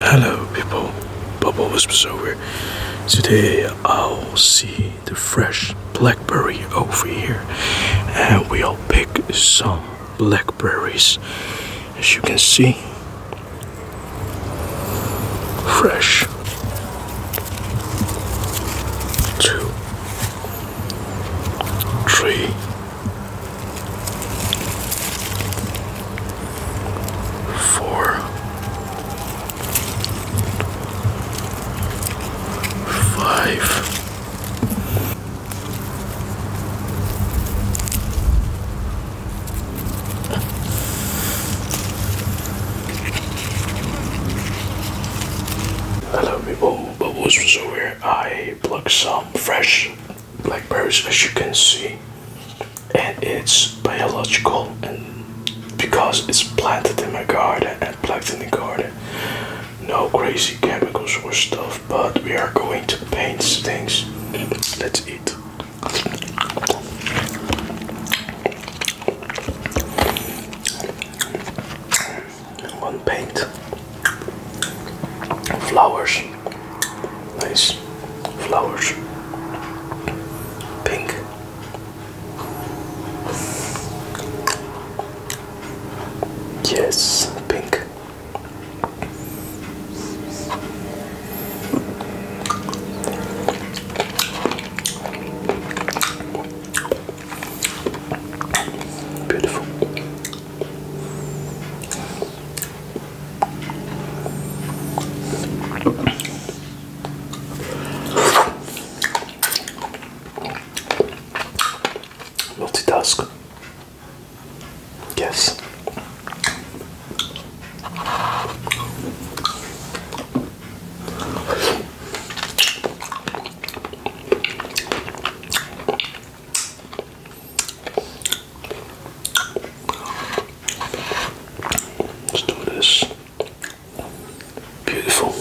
Hello people, Bubble Whispers over. Today I'll see the fresh blackberry over here and we'll pick some blackberries. As you can see, fresh. Two, three, four, five. Hello people, Bubbles was over I plucked some fresh Blackberries, as you can see and it's biological and because it's planted in my garden and planted in the garden no crazy chemicals or stuff but we are going to paint things let's eat one paint flowers Nice flowers. Pink. Yes, pink. Beautiful. Multitask. Yes. Let's do this. Beautiful.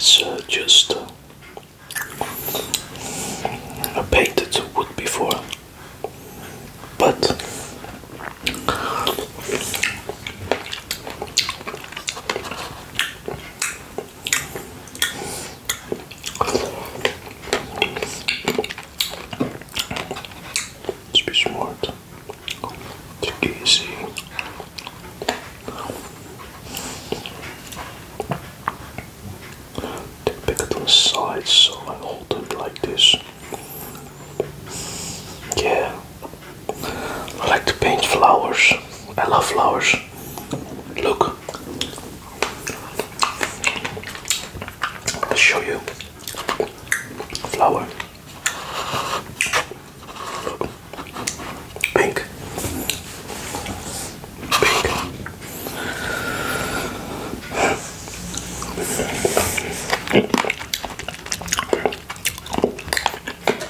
So just uh, I painted wood before, but Let's be smart. Too easy. Take pick on the side so I hold it like this. Yeah, I like to paint flowers. I love flowers. Look. I'll show you flower. Pink. Pink.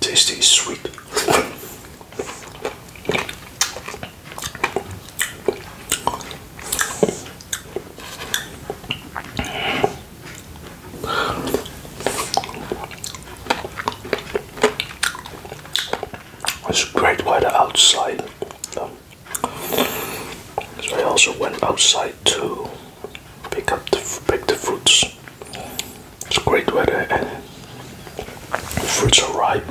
tasty sweet. It's great weather outside. so I also went outside to pick up the pick the fruits. It's great weather fruits are ripe.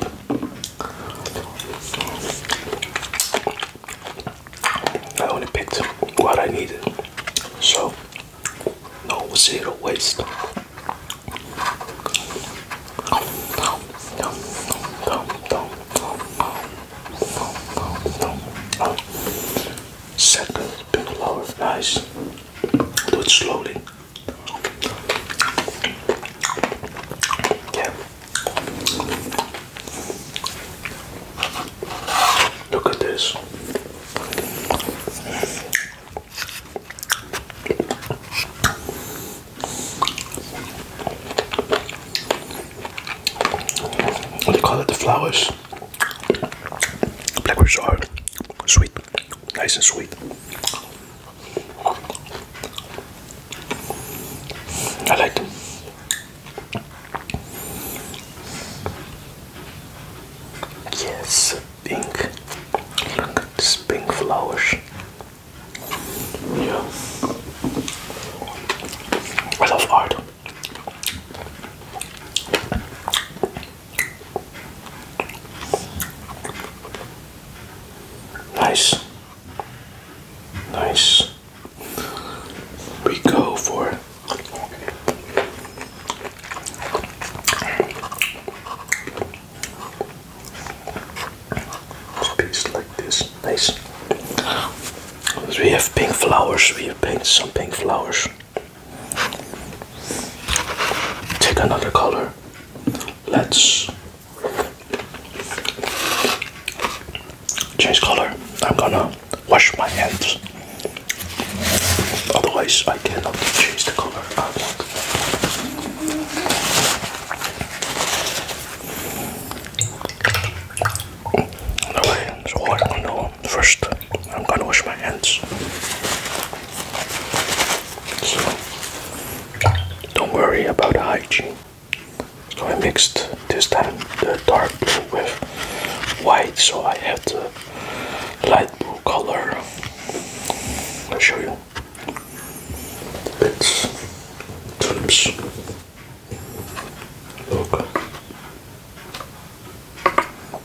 I only picked what I needed, so no zero waste. Second, been a lot of nice. Do it slowly. Look at this. What do you call it? The flowers? Blackberries are sweet. Nice and sweet. I like them. Yes, pink. Look at these pink flowers. Yeah. I love art. Nice. Nice. We go for piece like this. Nice. We have pink flowers. We have painted some pink flowers. Take another color. Let's change color. I'm gonna wash my hands. Otherwise, I cannot change the color No way. So I'm gonna first I'm gonna wash my hands. So don't worry about hygiene. So I mixed this time the dark blue with white, so I have the light blue color. I'll show you. It's tulips. Look.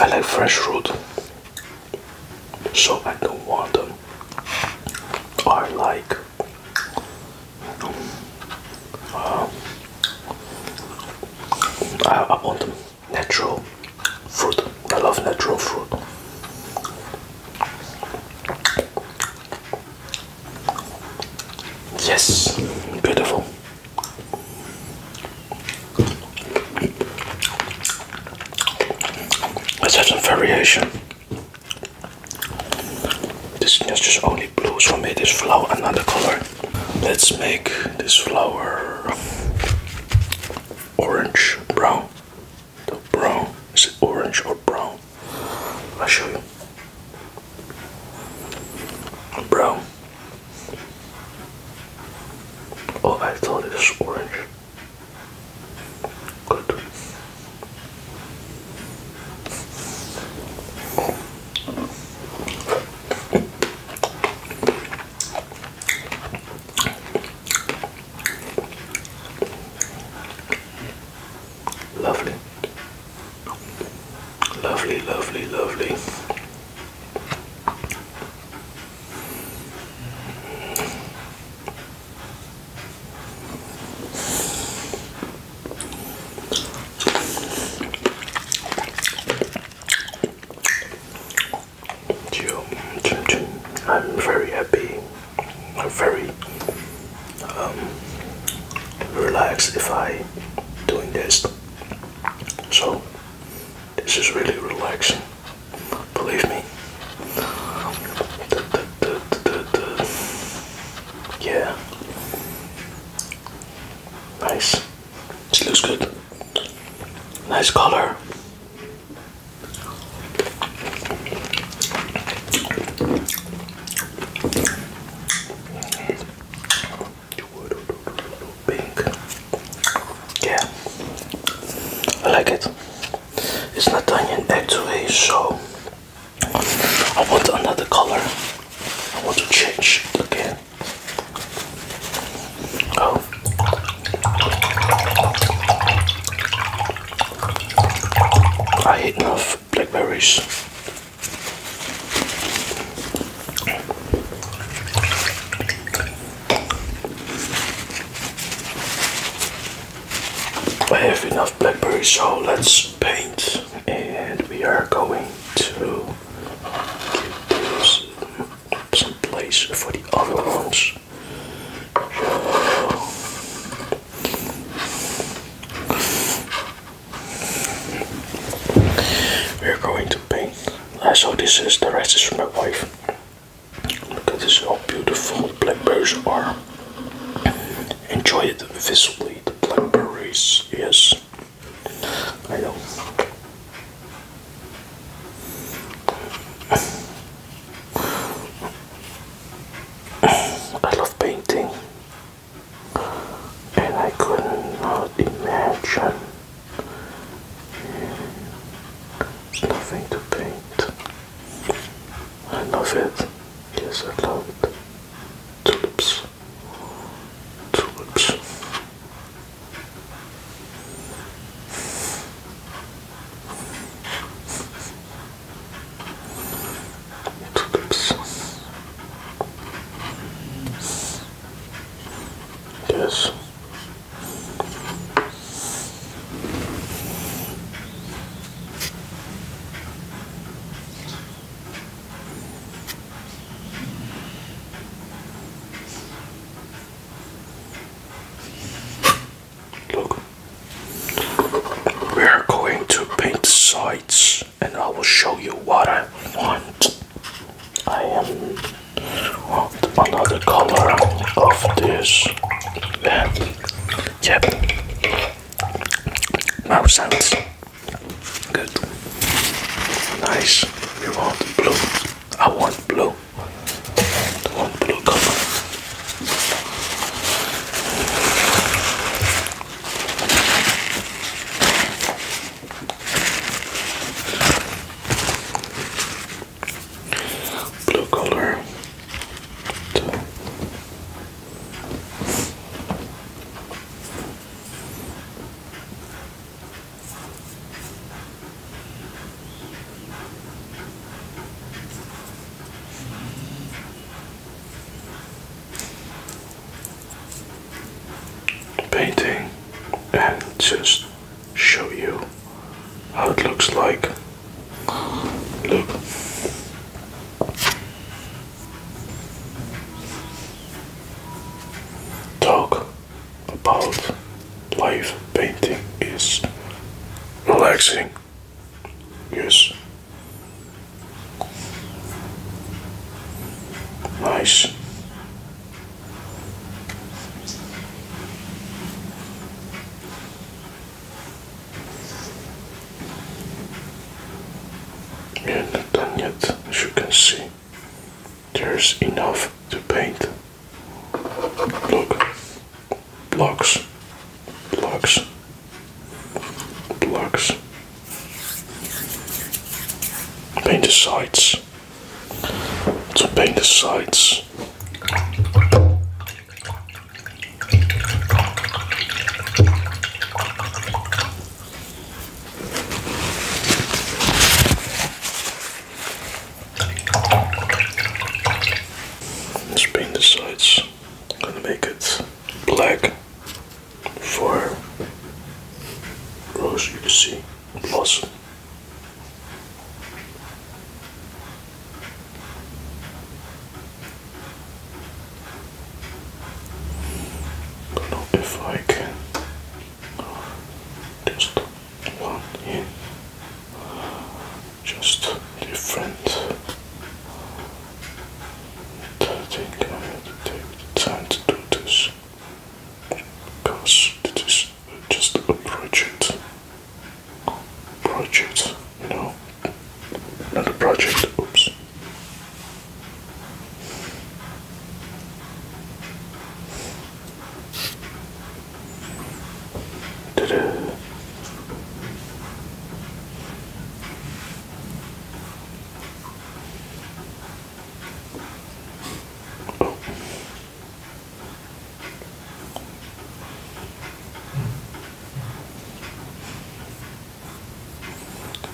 I like fresh fruit, so I don't want them. I like um, uh, I, want them natural fruit. I love natural fruit. Yes, beautiful. Let's have some variation. This is just only blue, so I made this flower another color. Let's make this flower orange brown. The brown is it orange or brown? I'll show you. Bro. Oh, I thought it was orange. Good. Lovely. Lovely, lovely, lovely. I'm very happy. I'm very um, relax. if I doing this. So this is really relaxing. Believe me. Yeah. Nice. This looks good. Nice color. Pink. Yeah, I like it. It's not onion actually, so I want another color. I want to change again. Oh. I hate enough blackberries. I have enough blackberries, so let's paint, and we are going to give this some place for the other ones. We're going to paint. Uh, so this is the rest is from my wife. Look at this, how beautiful blackberries are. Enjoy it this visibly, the blackberries, yes. I know. I love painting and I could not imagine nothing to paint. I love it. Yes, I love it. Tulips. Tulips. Tudo Yes. Look, we are going to paint sides and I will show you what I want. I am well, another color of this. Yeah. Yep. Now sounds good. Nice. You want blue? I want blue. I want blue color. Blue color painting and just show you how it looks like. Look. Talk about life painting is relaxing. Yes. Nice. Yeah, not done yet, as you can see. There's enough to paint. Look, blocks, blocks blocks. Paint the sides. To paint the sides. paint the sides. gonna make it black fire rose, you can see blossom. Don't know if I can uh, just one in just different Thirteen kilometers take the time to do this because it is just a project. Project, you know, not a project. Oops.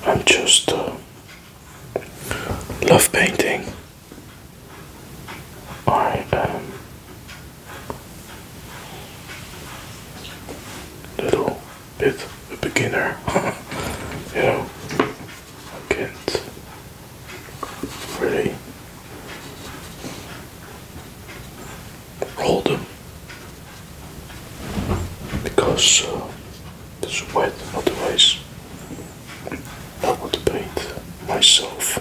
I'm just uh, love painting. I am little Bit a beginner. you know, I can't really hold them because uh, it's wet, otherwise, I would paint myself.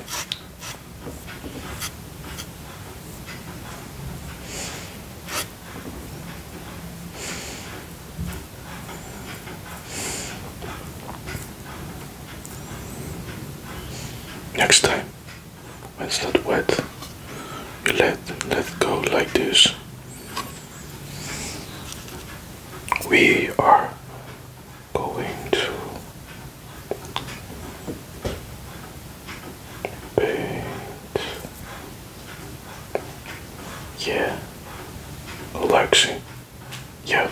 Next time, when it's not wet, you let let go like this. We are going to yeah. Relaxing. Yeah.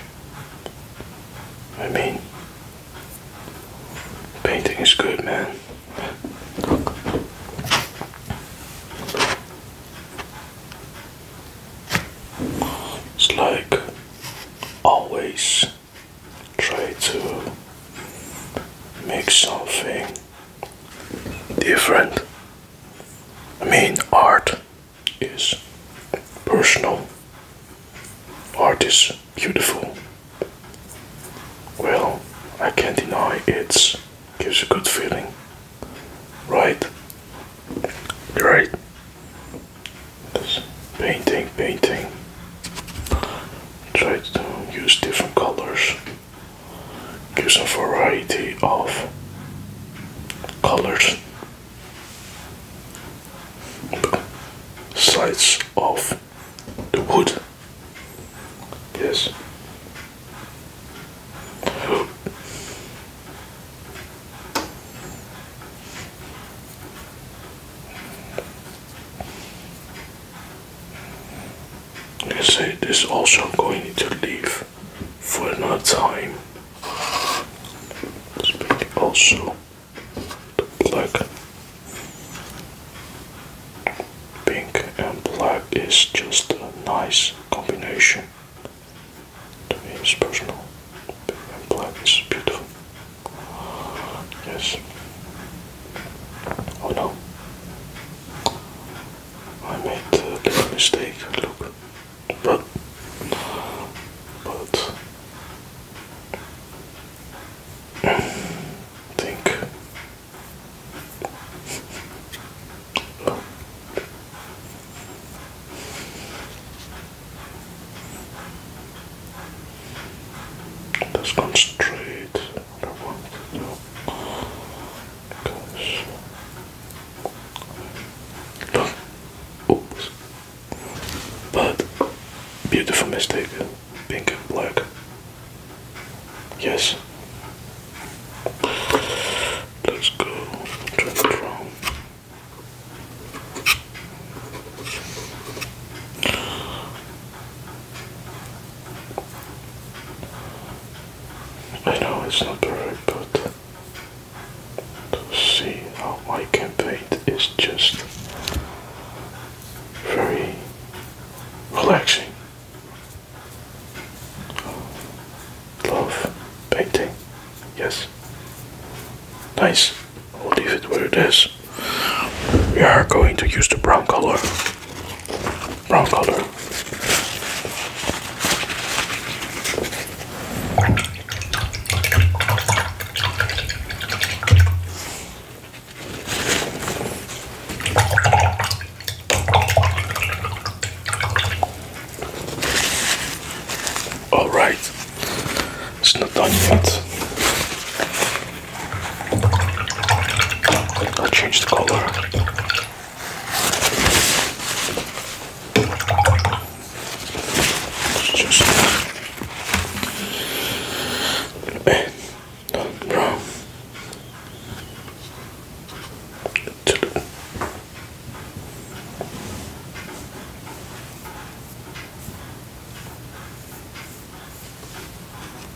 I mean, painting is good, man. It's like always try to make something different. I mean, art is personal, art is beautiful. Well, I can't deny it gives a good feeling, right? Right. This painting, painting. Try to use different colors, gives a variety of colors, sides of the wood. Yes can say this also I'm going to leave for another time. let also the black. Pink and black is just a nice combination. To me it's personal. Pink and black is beautiful. Yes. Oh no. I made a little mistake, look. But but think no. Let's concentrate. I want to do But beautiful mistake, pink and black. Yes. Let's go I know it's not perfect, but to see how I can paint is just very relaxing. Love painting, yes. Nice. I'll leave it where it is we are going to use the brown color brown color all right, it's not done yet. I'll change the color. just not brown.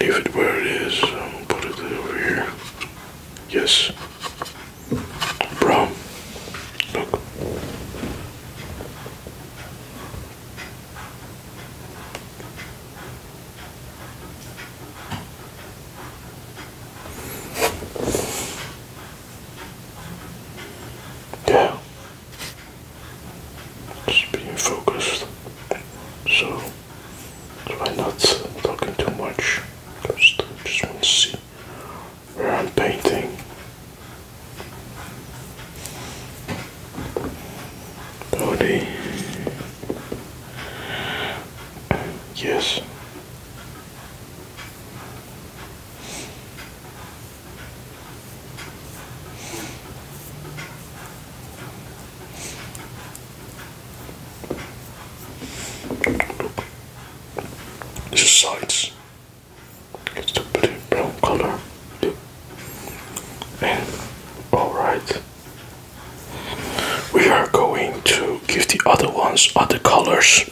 Leave it where it is. is. I'm um, gonna put it over here. Yes. Bro. Look. Yeah. Just being focused. So, I'm not talking too much. Just, just want to see where I'm painting. Body. Yes. This sides. It's the blue brown color. And alright. We are going to give the other ones other colors.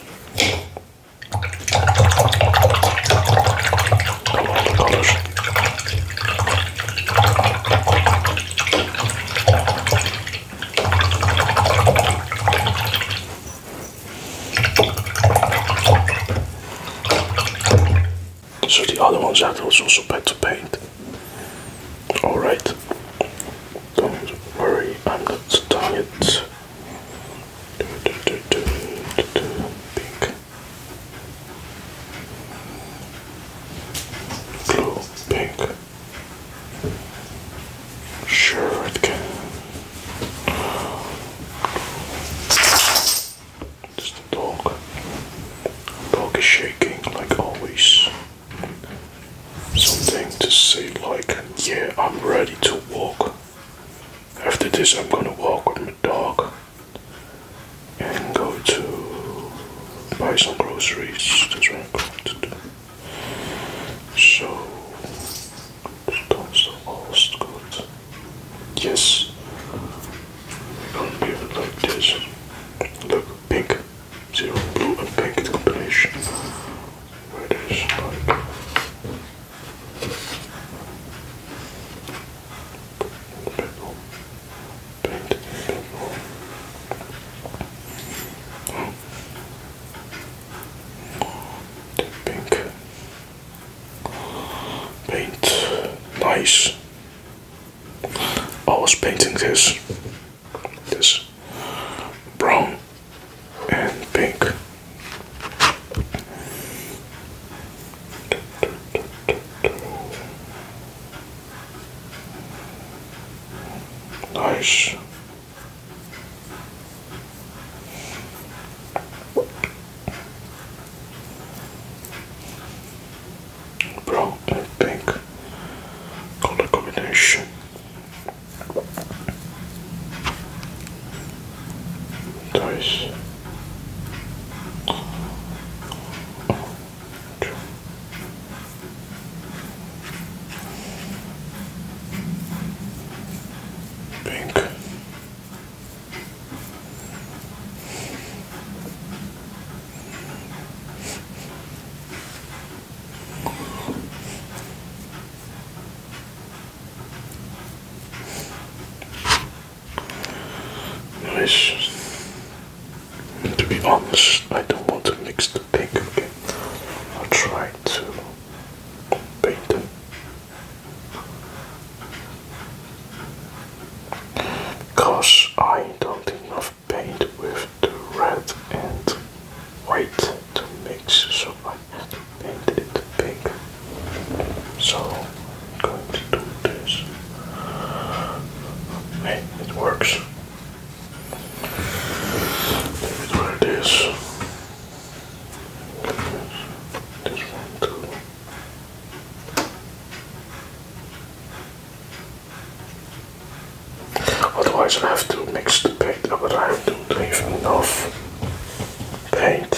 So the other ones are also bad to paint. Alright. Don't worry, I'm not tired. Pink. Blue, pink. Sure it can. Just a dog. Dog is shaking like always something to say like, yeah, I'm ready to walk. After this, I'm gonna walk with my dog and go to buy some groceries. That's what I'm going to do. So, that's the last good. Yes, I'm gonna be like this. Look, pink zero blue and pink combination where it is like purple, pink, purple. Pink paint, nice. I was painting this, this brown and pink. Nice brown and pink color combination. Dice. Pink to be honest, I don't want to mix the bacon. Okay, I'll try to paint it, Because I don't think enough paint with the red and white to mix so I have pink so am going to do this hey it works leave it this one too Otherwise I have to mix the paint but I don't have enough paint.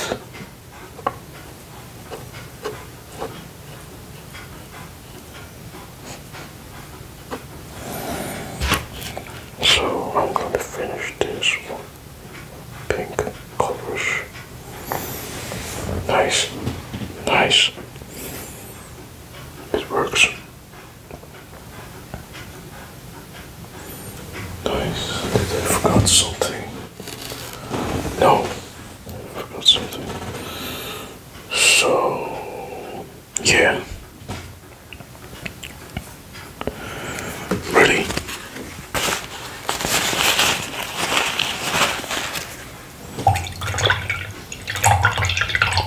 So I'm going to finish this one. Pink colors. Nice. Nice. It works. Nice. forgot something? No. forgot something. So yeah. Really?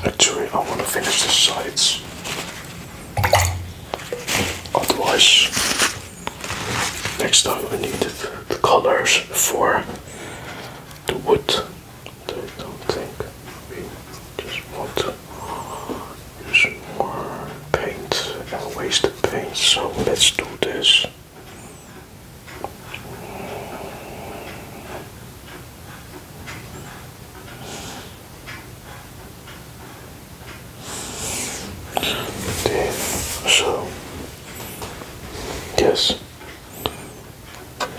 Actually, I want to finish the sides. Otherwise, next time we need the, the colors for the wood. I don't think we just want to use more paint and waste the paint, so let's do this. Okay, so yes.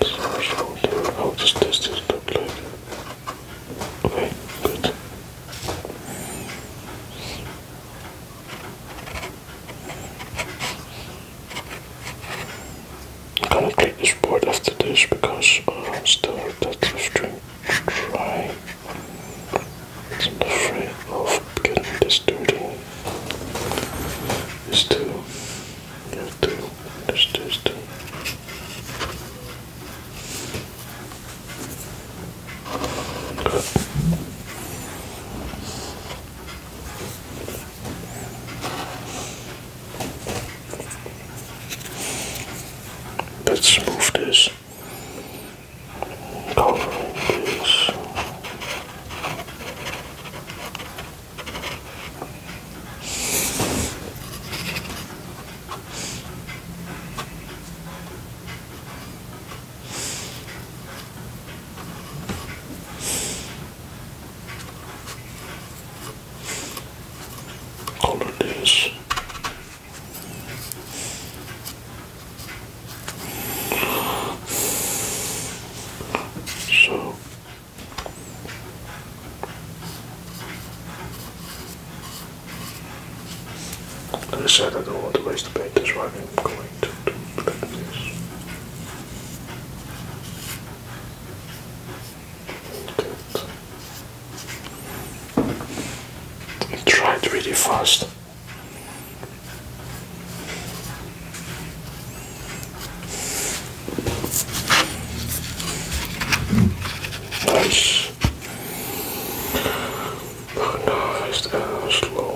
So, how does this look like? Okay, good. I'm gonna clean this board after this because uh, I'm still that stream try. I'm afraid of getting this dirty. It's too. It's too. It's this too. Let's move this. Covering all of this. So I said, I don't want to waste the paint, that's why I'm going to do this. Try it really fast. Nice. Nice and slow.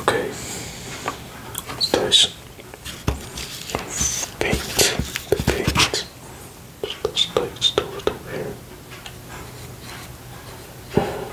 Okay, let's paint the paint. Just let's do it over here. Okay.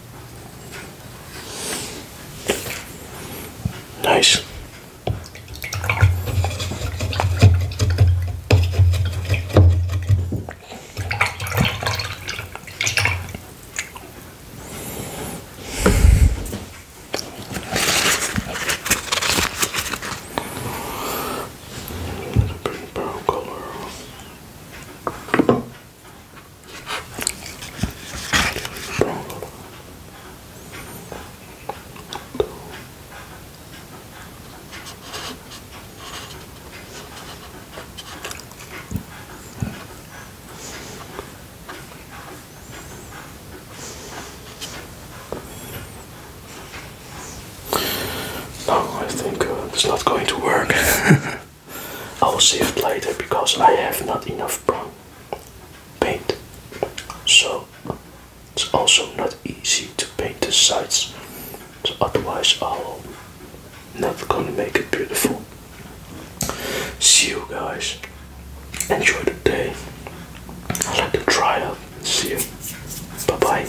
Nice. Little green brown color. No, I think uh, it's not going to work. I will save it later because I have not enough brown paint. So it's also not easy to paint the sides. So otherwise I'll never gonna make it beautiful. See you guys. Enjoy the day. I like to try out. See you. Bye bye.